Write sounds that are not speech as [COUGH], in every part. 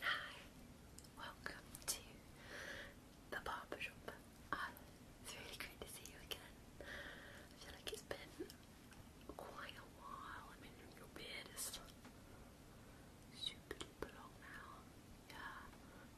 Hi, welcome to the barbershop. Ah, it's really great to see you again. I feel like it's been quite a while. I mean, your beard is super long now. Yeah, look.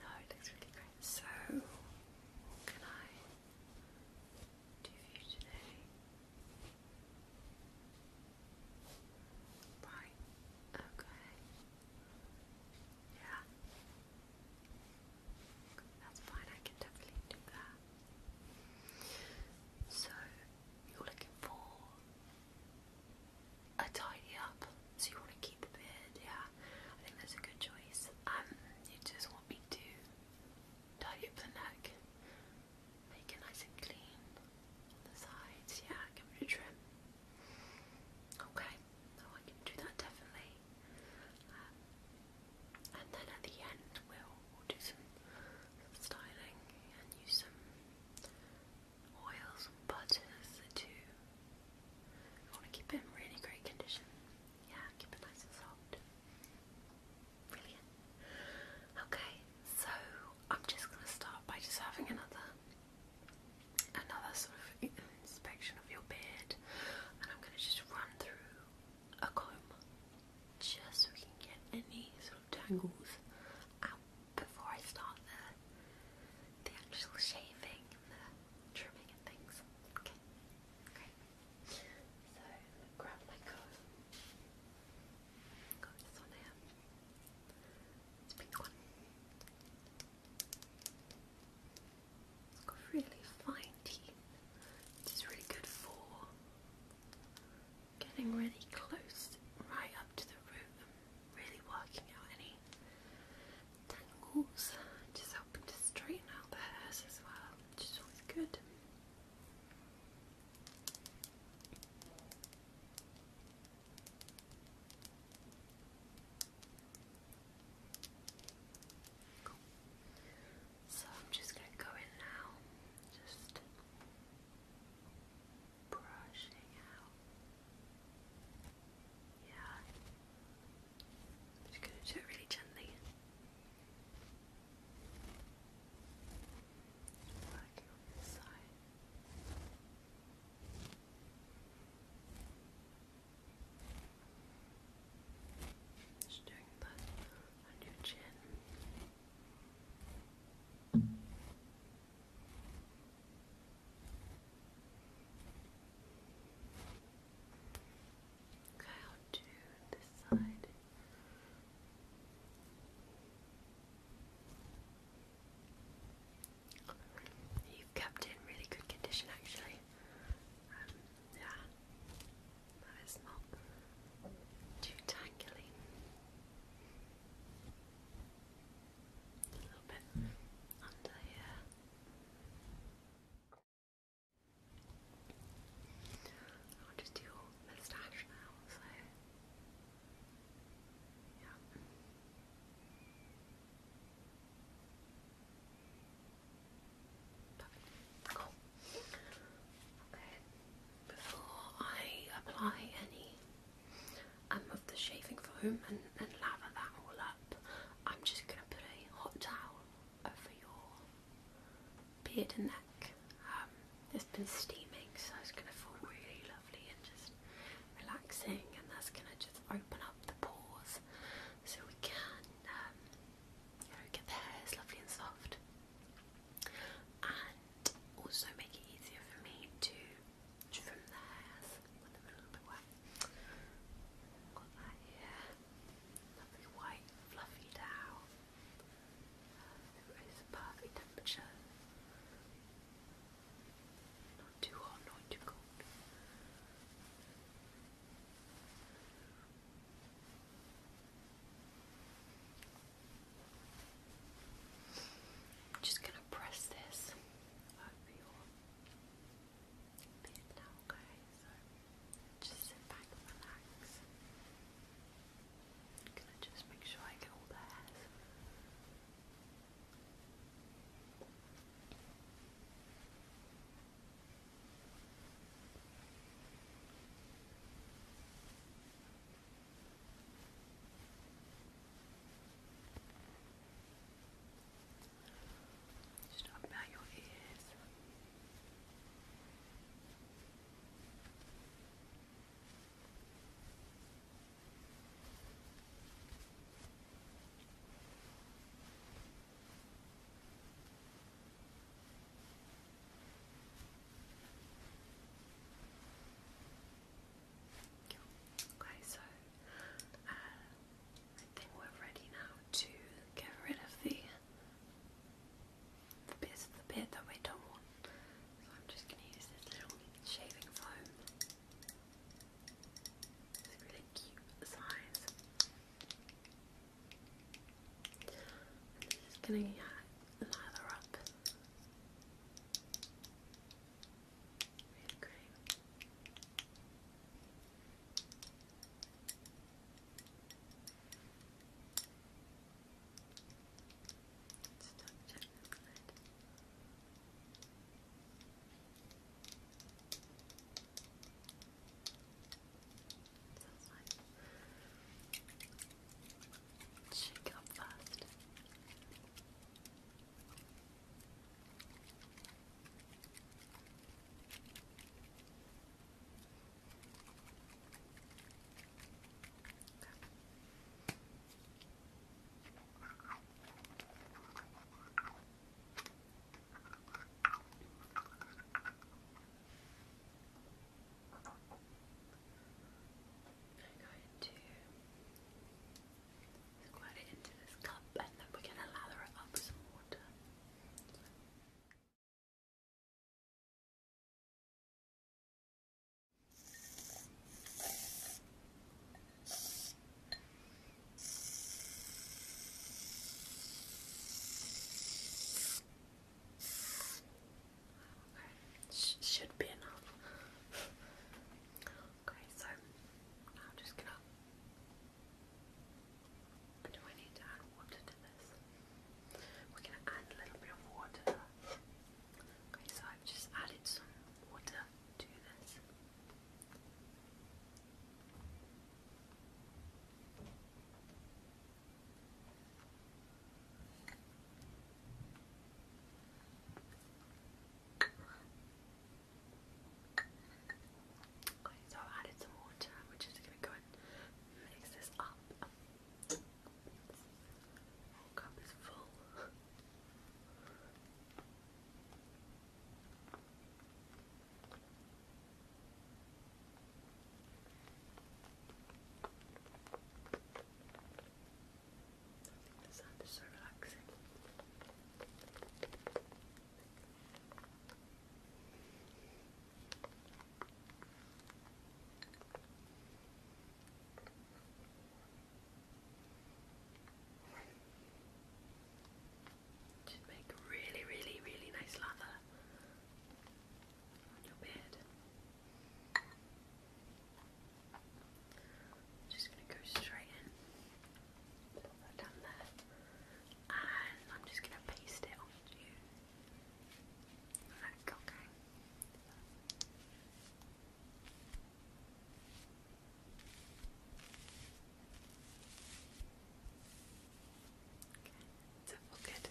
No, it looks really great. So, can I? to view today. Right, okay. Yeah. That's fine, I can definitely do that. So, you're looking for a tidy up, so you want to keep the beard, yeah. I think that's a good choice. Um, you just want me to Tidy up the neck. Make it nice and clean on the sides. Yeah, give it a trim. Okay, I can do that definitely. Um, and then at the end, we'll, do some, styling and use some oils and butters to. want to keep it in really great condition. Yeah, keep it nice and soft. Brilliant. Okay, so I'm just going to start by just having another another sort of inspection of your beard, and I'm going to just run through a comb just so we can get any sort of tangles out before I start the the actual shaving and the trimming and things. Okay, so grab my comb. Got this one here. It's a pink one. It's got really fine teeth. This is really good for getting really close, right up to the root, really working out any tangles. Just helping to straighten out the hairs as well. It's is always good. So I'm just going to go in now, just brushing out. Yeah. just going to do it really gently. Just working doing that on your chin. Okay, I'll do this side. You've kept in really good condition actually. Um, yeah, that is not too tangly. A little bit under here. I'll just do moustache now, so yeah. Before I apply any um, of the shaving foam and lather that all up, I'm just going to put a hot towel over your beard and neck. Um, it's been steaming, so it's going to feel really lovely and just relaxing, and that's going to just open up the pores so we can um, get the hairs lovely and soft, and also make it easier for me to trim the hairs with them a little bit wet. Got that here lovely white fluffy towel. perfect temperature. Not too hot, not too cold. just going to press this bed now, okay? just sit back and relax. gonna just make sure I get all the just talk about your ears. Okay, so uh, I think we're ready now to get rid of the the bits of the bit that we don't want. So I'm just gonna use this little shaving foam. It's really cute size. And gonna yeah, lather up with Stop checking the lid. Sounds like shake up fast. I'm going to squirt it into this cup and then we're going to lather it up with some water should be enough. [LAUGHS] okay, so I'm just gonna do I need to add water to this? We're going to add a little bit of water. Okay, so I've just added some water to this. Okay, so i added some water. We're gonna mix this up. Whole cup is full. I think so relaxing. Should make really, really, really nice lather on your beard. just going to go straight in, put that down there and I'm just going to paste it onto you. okay. Okay, is Okay.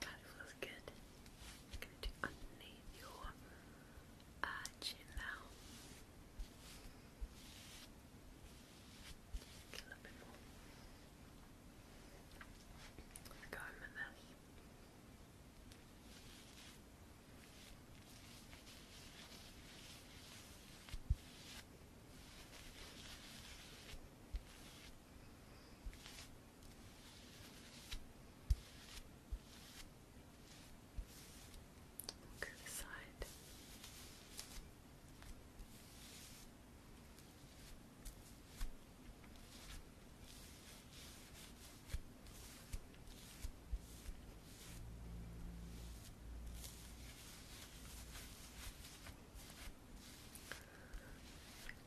God, it feels good. I'm gonna do underneath your uh, now. a little bit more. Go in with this. Okay, the side. Okay.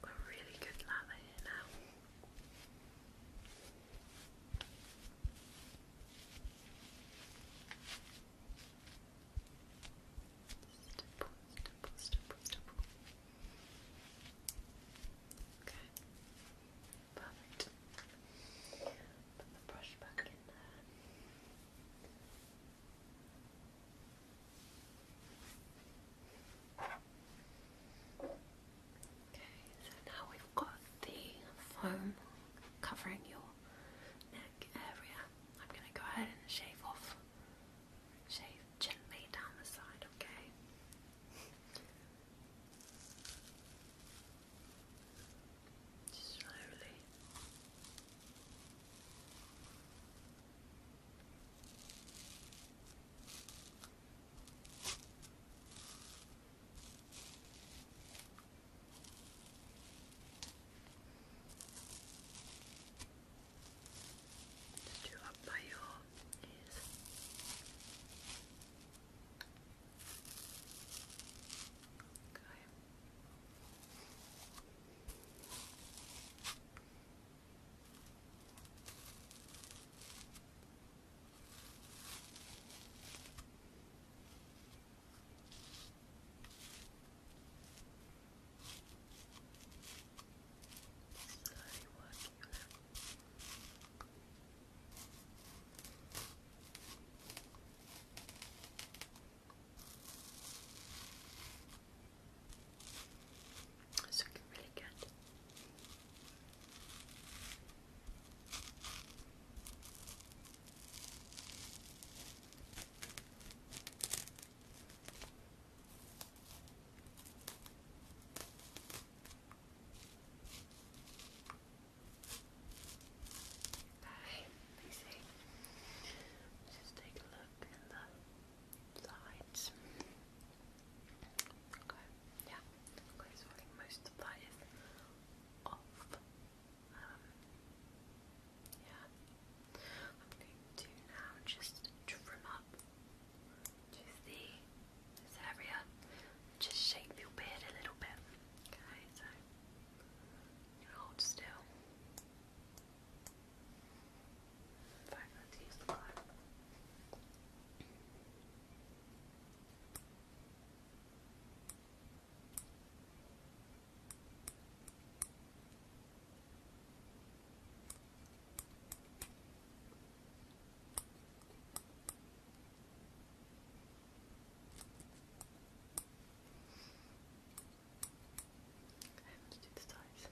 A really good lather here now. Stipple, stipple, stipple, stipple. Okay. Perfect. Put the brush back in there. Okay, so now we've got the foam covering your neck area. I'm going to go ahead and shave off, shave gently down the side, okay? slowly. Just do up your is okay. It's looking really good. Okay, let me Just take a look in the sides. Okay, yeah. I am um, going to now just trim up to the this area. Just shape your beard a little bit. Okay, so hold still. In fact, to do the size. Yep.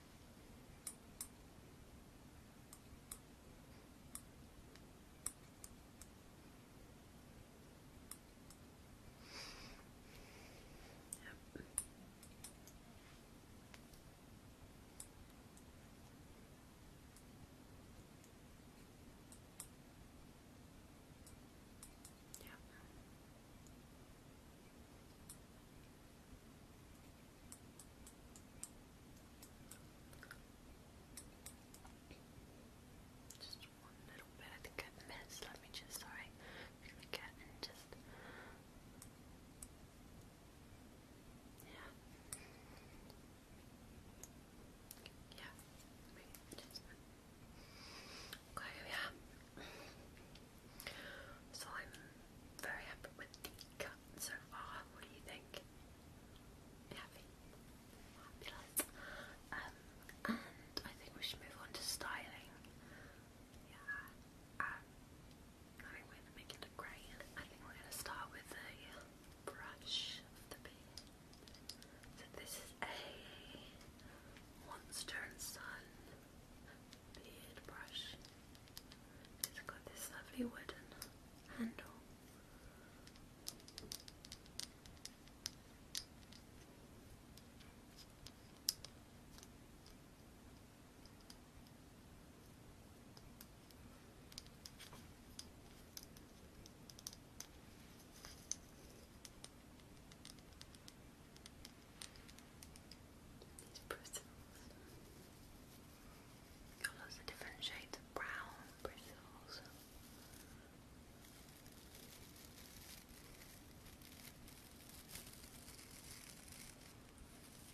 Yeah. Just one little bit. I think I missed. Let me just sorry. Click just yeah. Yeah. Okay, yeah. So I'm very happy with the cut so far. What do you think? Happy. Fabulous. Um, I think we should move on to styling. Yeah. Um, Alright, we gonna make it a gray. I think we're gonna start with a brush of the So this is a Monster Sun beard brush. It's got this lovely wooden handle. These bristles. Got lots of different shades of brown bristles.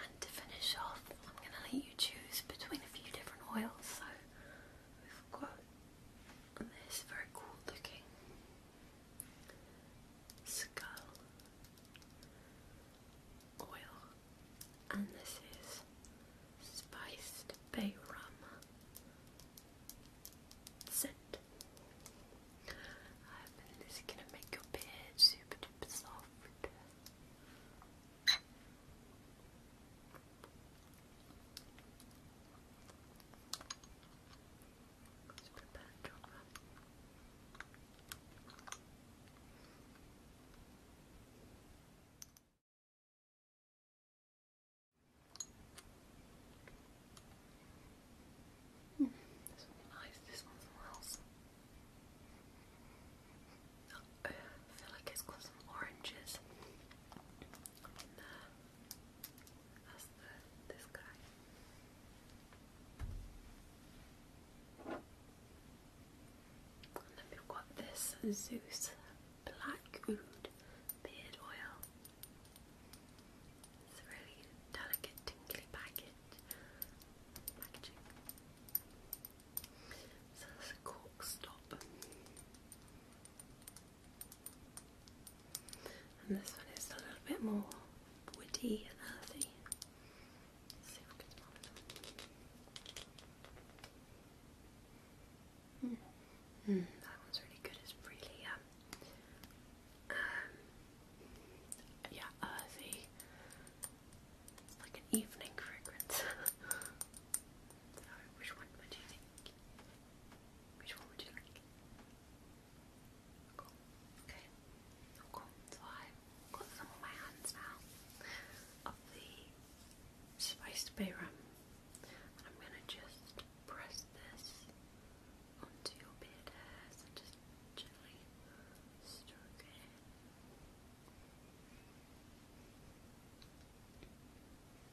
and to finish off, I'm going to let you choose between a few different oils. So we've got and this very cool looking skull oil, and this is spiced bay rum scent. this is gonna make your beard super duper soft. Let's this one's nice, this one smells. I feel like it's got some oranges we've got this Zeus Black Oud Beard Oil. It's a really delicate, tingly package. So that's a cool stop. And this one is a little bit more woody and earthy. Hmm. Hmm, that one's really good. It's really um, um yeah, earthy. It's like an evening fragrance. [LAUGHS] so, which one would you think? Which one would you like? Okay. So I've got some on my hands now of the spiced bay rum. I'm gonna just press this onto your beard hairs and just gently stroke it.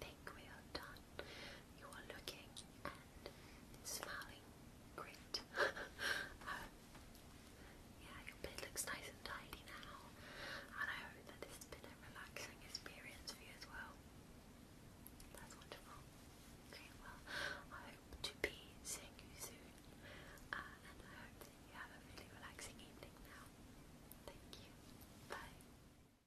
think we are done. You are looking and smelling great. [LAUGHS] Um, yeah, your bed looks nice and tidy now, and I hope that this has been a relaxing experience for you as well. That's wonderful. Okay, well, I hope to be seeing you soon, uh, and I hope that you have a really relaxing evening now. Thank you. Bye.